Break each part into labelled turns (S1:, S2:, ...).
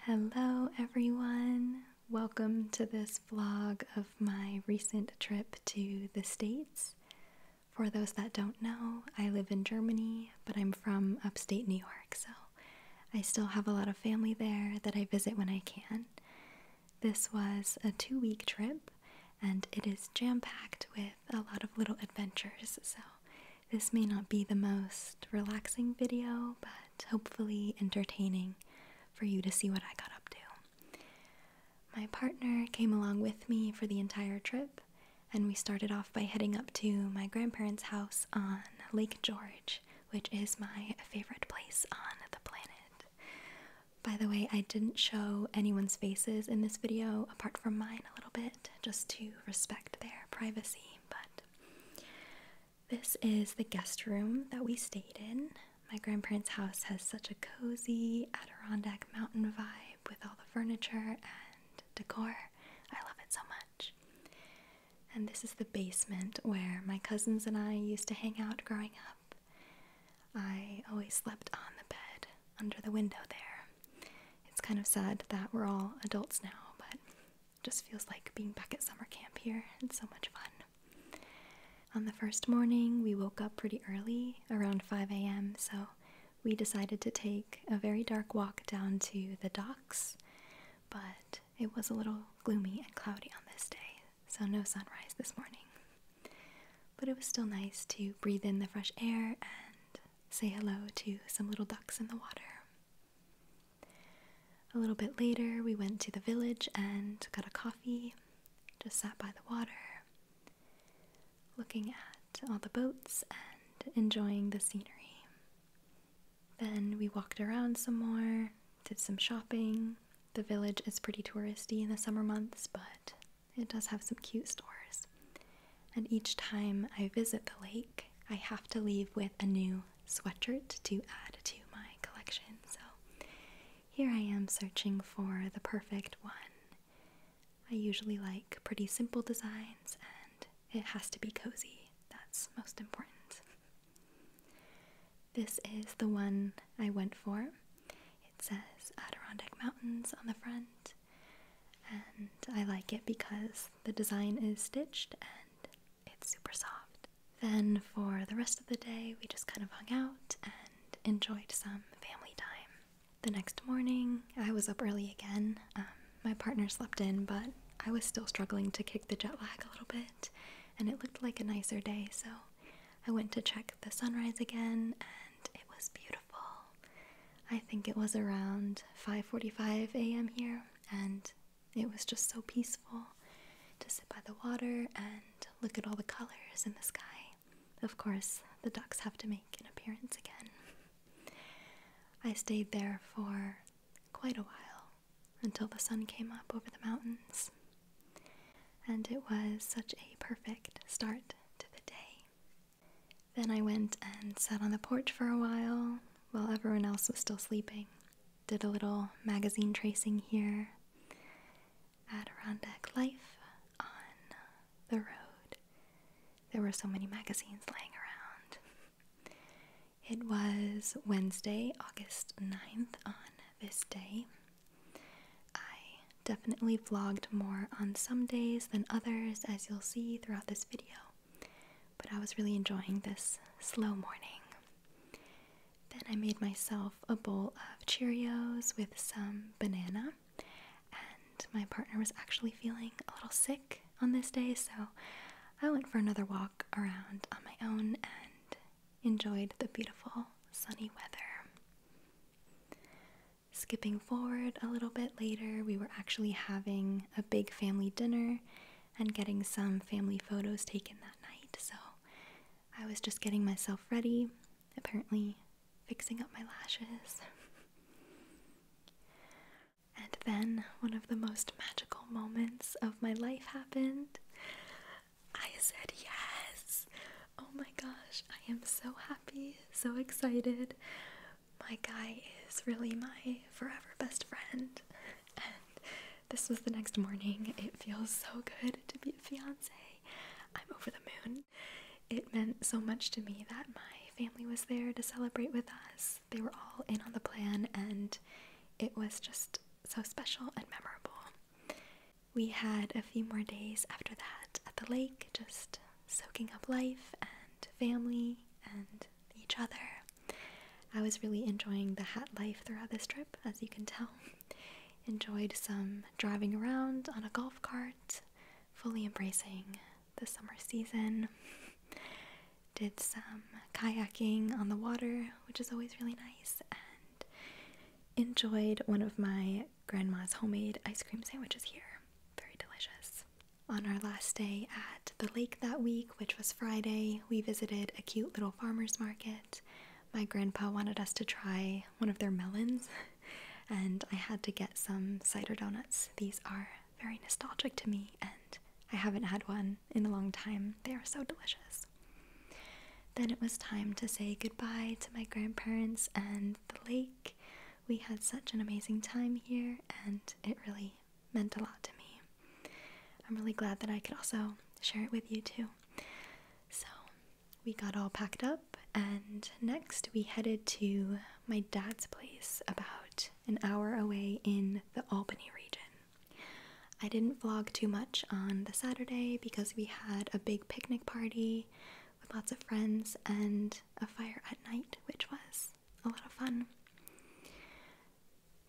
S1: Hello, everyone. Welcome to this vlog of my recent trip to the States. For those that don't know, I live in Germany, but I'm from upstate New York, so I still have a lot of family there that I visit when I can. This was a two week trip, and it is jam packed with a lot of little adventures, so this may not be the most relaxing video, but hopefully entertaining for you to see what I got up to. My partner came along with me for the entire trip, and we started off by heading up to my grandparents' house on Lake George, which is my favorite place on the planet. By the way, I didn't show anyone's faces in this video apart from mine a little bit, just to respect their privacy, but this is the guest room that we stayed in. My grandparents' house has such a cozy Adirondack mountain vibe with all the furniture and decor. I love it so much. And this is the basement where my cousins and I used to hang out growing up. I always slept on the bed under the window there. It's kind of sad that we're all adults now, but just feels like being back at summer camp here. It's so much fun. On the first morning, we woke up pretty early, around 5 a.m., so we decided to take a very dark walk down to the docks, but it was a little gloomy and cloudy on this day, so no sunrise this morning. But it was still nice to breathe in the fresh air and say hello to some little ducks in the water. A little bit later, we went to the village and got a coffee, just sat by the water, looking at all the boats and enjoying the scenery. Then we walked around some more, did some shopping. The village is pretty touristy in the summer months, but it does have some cute stores. And each time I visit the lake, I have to leave with a new sweatshirt to add to my collection. So here I am searching for the perfect one. I usually like pretty simple designs and it has to be cozy. That's most important. This is the one I went for. It says Adirondack Mountains on the front, and I like it because the design is stitched and it's super soft. Then for the rest of the day, we just kind of hung out and enjoyed some family time. The next morning, I was up early again. Um, my partner slept in, but I was still struggling to kick the jet lag a little bit, and it looked like a nicer day, so I went to check the sunrise again, and it was beautiful. I think it was around 5:45 a.m. here, and it was just so peaceful to sit by the water and look at all the colors in the sky. Of course, the ducks have to make an appearance again. I stayed there for quite a while until the sun came up over the mountains. And it was such a perfect start to the day. Then I went and sat on the porch for a while while everyone else was still sleeping did a little magazine tracing here. Adirondack Life on the road. There were so many magazines laying around. It was Wednesday, August 9th, on this day. I definitely vlogged more on some days than others, as you'll see throughout this video but I was really enjoying this slow morning. Then I made myself a bowl of Cheerios with some banana, and my partner was actually feeling a little sick on this day, so I went for another walk around on my own and enjoyed the beautiful sunny weather. Skipping forward a little bit later, we were actually having a big family dinner and getting some family photos taken that night. So I was just getting myself ready, apparently fixing up my lashes. and then one of the most magical moments of my life happened. I said yes! Oh my gosh, I am so happy, so excited. My guy is really my forever best friend, this was the next morning. It feels so good to be a fiance. I'm over the moon. It meant so much to me that my family was there to celebrate with us. They were all in on the plan, and it was just so special and memorable. We had a few more days after that at the lake, just soaking up life and family and each other. I was really enjoying the hat life throughout this trip, as you can tell. Enjoyed some driving around on a golf cart, fully embracing the summer season. Did some kayaking on the water, which is always really nice, and enjoyed one of my grandma's homemade ice cream sandwiches here. Very delicious. On our last day at the lake that week, which was Friday, we visited a cute little farmer's market. My grandpa wanted us to try one of their melons, and I had to get some cider donuts. These are very nostalgic to me, and I haven't had one in a long time. They are so delicious. Then it was time to say goodbye to my grandparents and the lake. We had such an amazing time here, and it really meant a lot to me. I'm really glad that I could also share it with you too. So, we got all packed up, and next we headed to my dad's place about an hour away in the Albany region. I didn't vlog too much on the Saturday because we had a big picnic party with lots of friends and a fire at night, which was a lot of fun.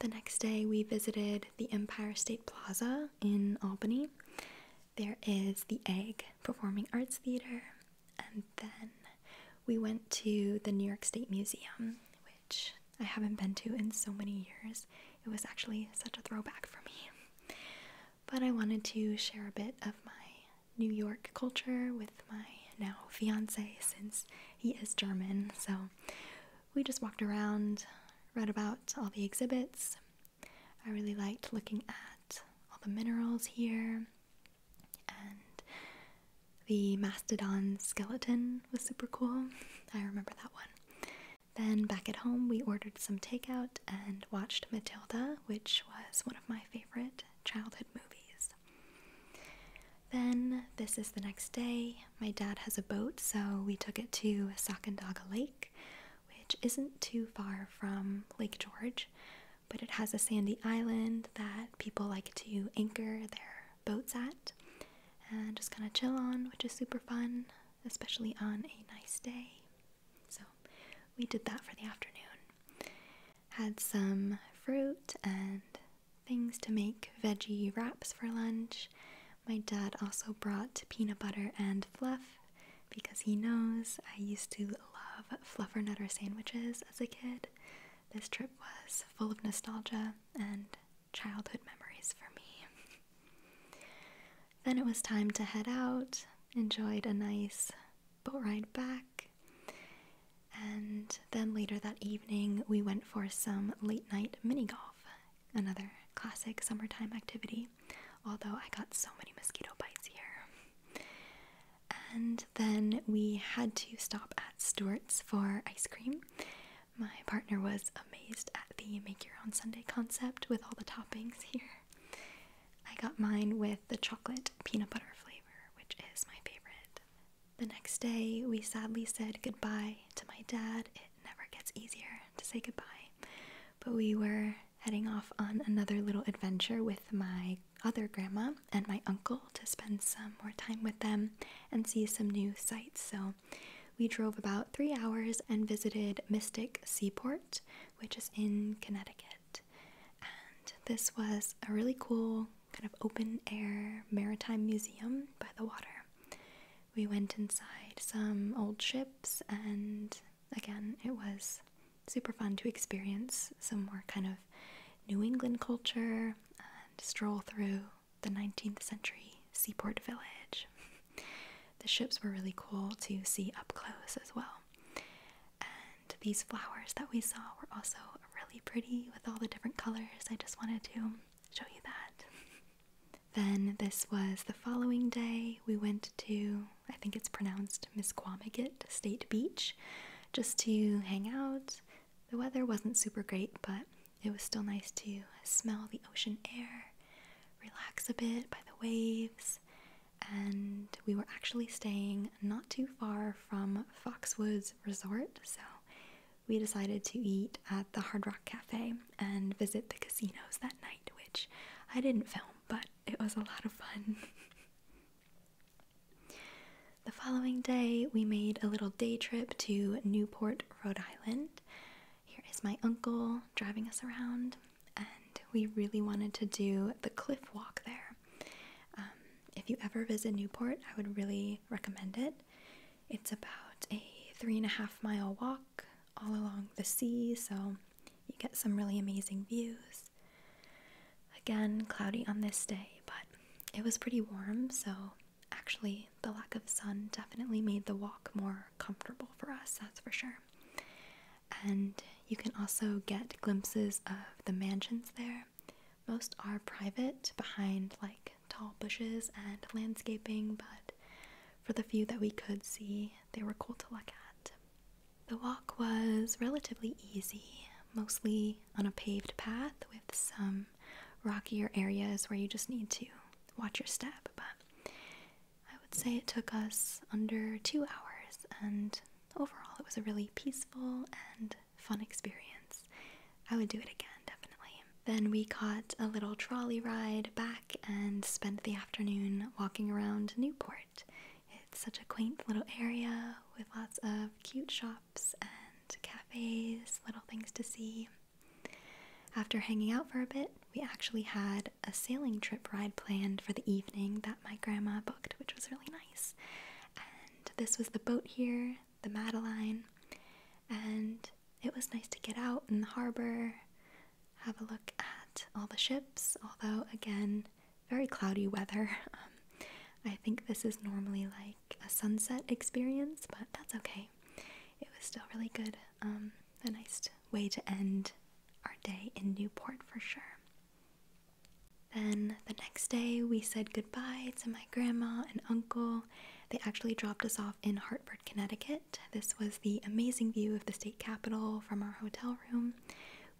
S1: The next day, we visited the Empire State Plaza in Albany. There is the Egg Performing Arts Theater, and then we went to the New York State Museum, which I haven't been to in so many years. It was actually such a throwback for me. But I wanted to share a bit of my New York culture with my now fiance since he is German. So we just walked around, read about all the exhibits. I really liked looking at all the minerals here, and the mastodon skeleton was super cool. I remember that one. Then back at home, we ordered some takeout and watched Matilda, which was one of my favorite childhood movies. Then, this is the next day. My dad has a boat, so we took it to Sacandaga Lake, which isn't too far from Lake George, but it has a sandy island that people like to anchor their boats at and just kind of chill on, which is super fun, especially on a nice day. So, we did that for the afternoon. Had some fruit and things to make veggie wraps for lunch. My dad also brought peanut butter and fluff because he knows I used to love fluffernutter sandwiches as a kid. This trip was full of nostalgia and childhood memories for me. then it was time to head out. Enjoyed a nice boat ride back. And then later that evening, we went for some late night mini golf. Another classic summertime activity, although I got so many mosquito bites here. And then we had to stop at Stewart's for ice cream. My partner was amazed at the make your own Sunday concept with all the toppings here. I got mine with the chocolate peanut butter flavor, which is my favorite. The next day, we sadly said goodbye to my dad. It never gets easier to say goodbye. But we were heading off on another little adventure with my other grandma and my uncle to spend some more time with them and see some new sights. So we drove about three hours and visited Mystic Seaport, which is in Connecticut. And this was a really cool kind of open air maritime museum by the water we went inside some old ships, and again, it was super fun to experience some more kind of New England culture and stroll through the 19th century seaport village. the ships were really cool to see up close as well. And these flowers that we saw were also really pretty with all the different colors. I just wanted to show you that. Then this was the following day. We went to, I think it's pronounced Misquamaget State Beach, just to hang out. The weather wasn't super great, but it was still nice to smell the ocean air, relax a bit by the waves. And we were actually staying not too far from Foxwoods Resort, so we decided to eat at the Hard Rock Cafe and visit the casinos that night, which I didn't film, but it was a lot of fun. the following day, we made a little day trip to Newport, Rhode Island. Here is my uncle driving us around, and we really wanted to do the cliff walk there. Um, if you ever visit Newport, I would really recommend it. It's about a three and a half mile walk all along the sea, so you get some really amazing views. Again, cloudy on this day, but it was pretty warm, so actually, the lack of sun definitely made the walk more comfortable for us, that's for sure. And you can also get glimpses of the mansions there. Most are private behind like tall bushes and landscaping, but for the few that we could see, they were cool to look at. The walk was relatively easy, mostly on a paved path with some rockier areas where you just need to watch your step, but I would say it took us under two hours, and overall, it was a really peaceful and fun experience. I would do it again, definitely. Then we caught a little trolley ride back and spent the afternoon walking around Newport. It's such a quaint little area with lots of cute shops and cafes, little things to see. After hanging out for a bit, we actually had a sailing trip ride planned for the evening that my grandma booked, which was really nice. And this was the boat here, the Madeline and it was nice to get out in the harbor, have a look at all the ships, although, again, very cloudy weather. Um, I think this is normally like a sunset experience, but that's okay. It was still really good. Um, a nice way to end our day in Newport for sure. Then the next day, we said goodbye to my grandma and uncle they actually dropped us off in Hartford, Connecticut. This was the amazing view of the state capitol from our hotel room.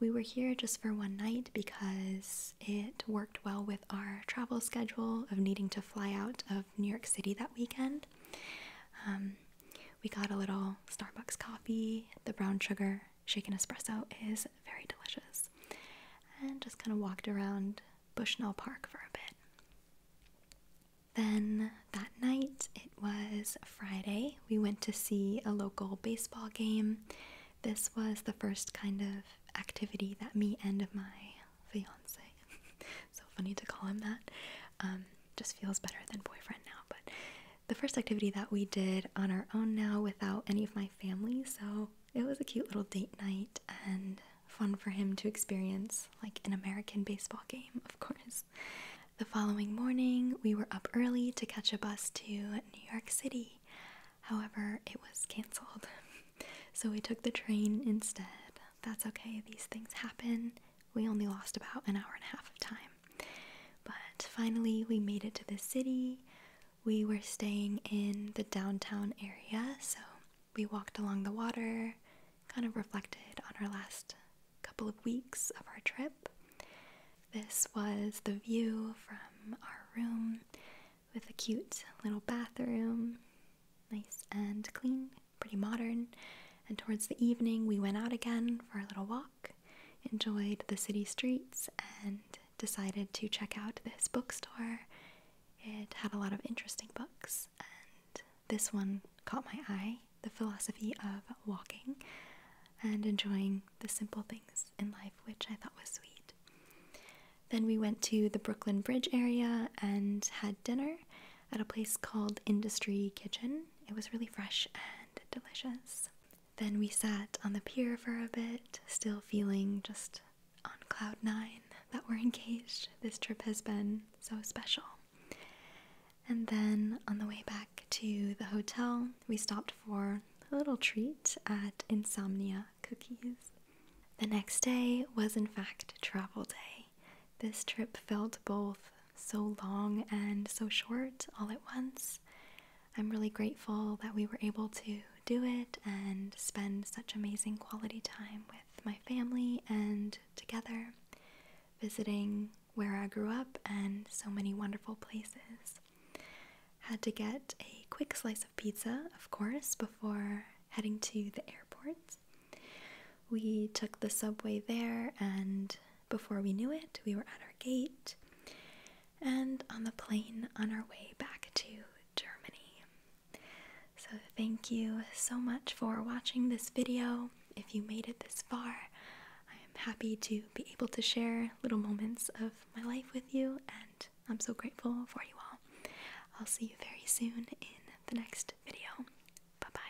S1: We were here just for one night because it worked well with our travel schedule of needing to fly out of New York City that weekend. Um, we got a little Starbucks coffee. The brown sugar shaken espresso is very delicious. And just kind of walked around Bushnell Park for a bit. Then that night, it was Friday, we went to see a local baseball game. This was the first kind of activity that me and my fiance, so funny to call him that, um, just feels better than boyfriend now, but the first activity that we did on our own now without any of my family, so it was a cute little date night and fun for him to experience, like an American baseball game, of course. The following morning, we were up early to catch a bus to New York City. However, it was canceled, so we took the train instead. That's okay, these things happen. We only lost about an hour and a half of time. But finally, we made it to the city. We were staying in the downtown area, so we walked along the water, kind of reflected on our last couple of weeks of our trip. This was the view from our room with a cute little bathroom, nice and clean, pretty modern. And towards the evening, we went out again for a little walk, enjoyed the city streets, and decided to check out this bookstore. It had a lot of interesting books, and this one caught my eye the philosophy of walking and enjoying the simple things in life, which I thought was sweet. Then we went to the Brooklyn Bridge area and had dinner at a place called Industry Kitchen. It was really fresh and delicious. Then we sat on the pier for a bit, still feeling just on cloud nine that we're engaged. This trip has been so special. And then on the way back to the hotel, we stopped for a little treat at Insomnia Cookies. The next day was, in fact, travel day. This trip felt both so long and so short all at once. I'm really grateful that we were able to do it and spend such amazing quality time with with my family and together, visiting where I grew up and so many wonderful places. Had to get a quick slice of pizza, of course, before heading to the airport. We took the subway there, and before we knew it, we were at our gate and on the plane on our way back to Germany. So, thank you so much for watching this video. If you made it this far, I am happy to be able to share little moments of my life with you, and I'm so grateful for you all. I'll see you very soon in the next video. Bye bye.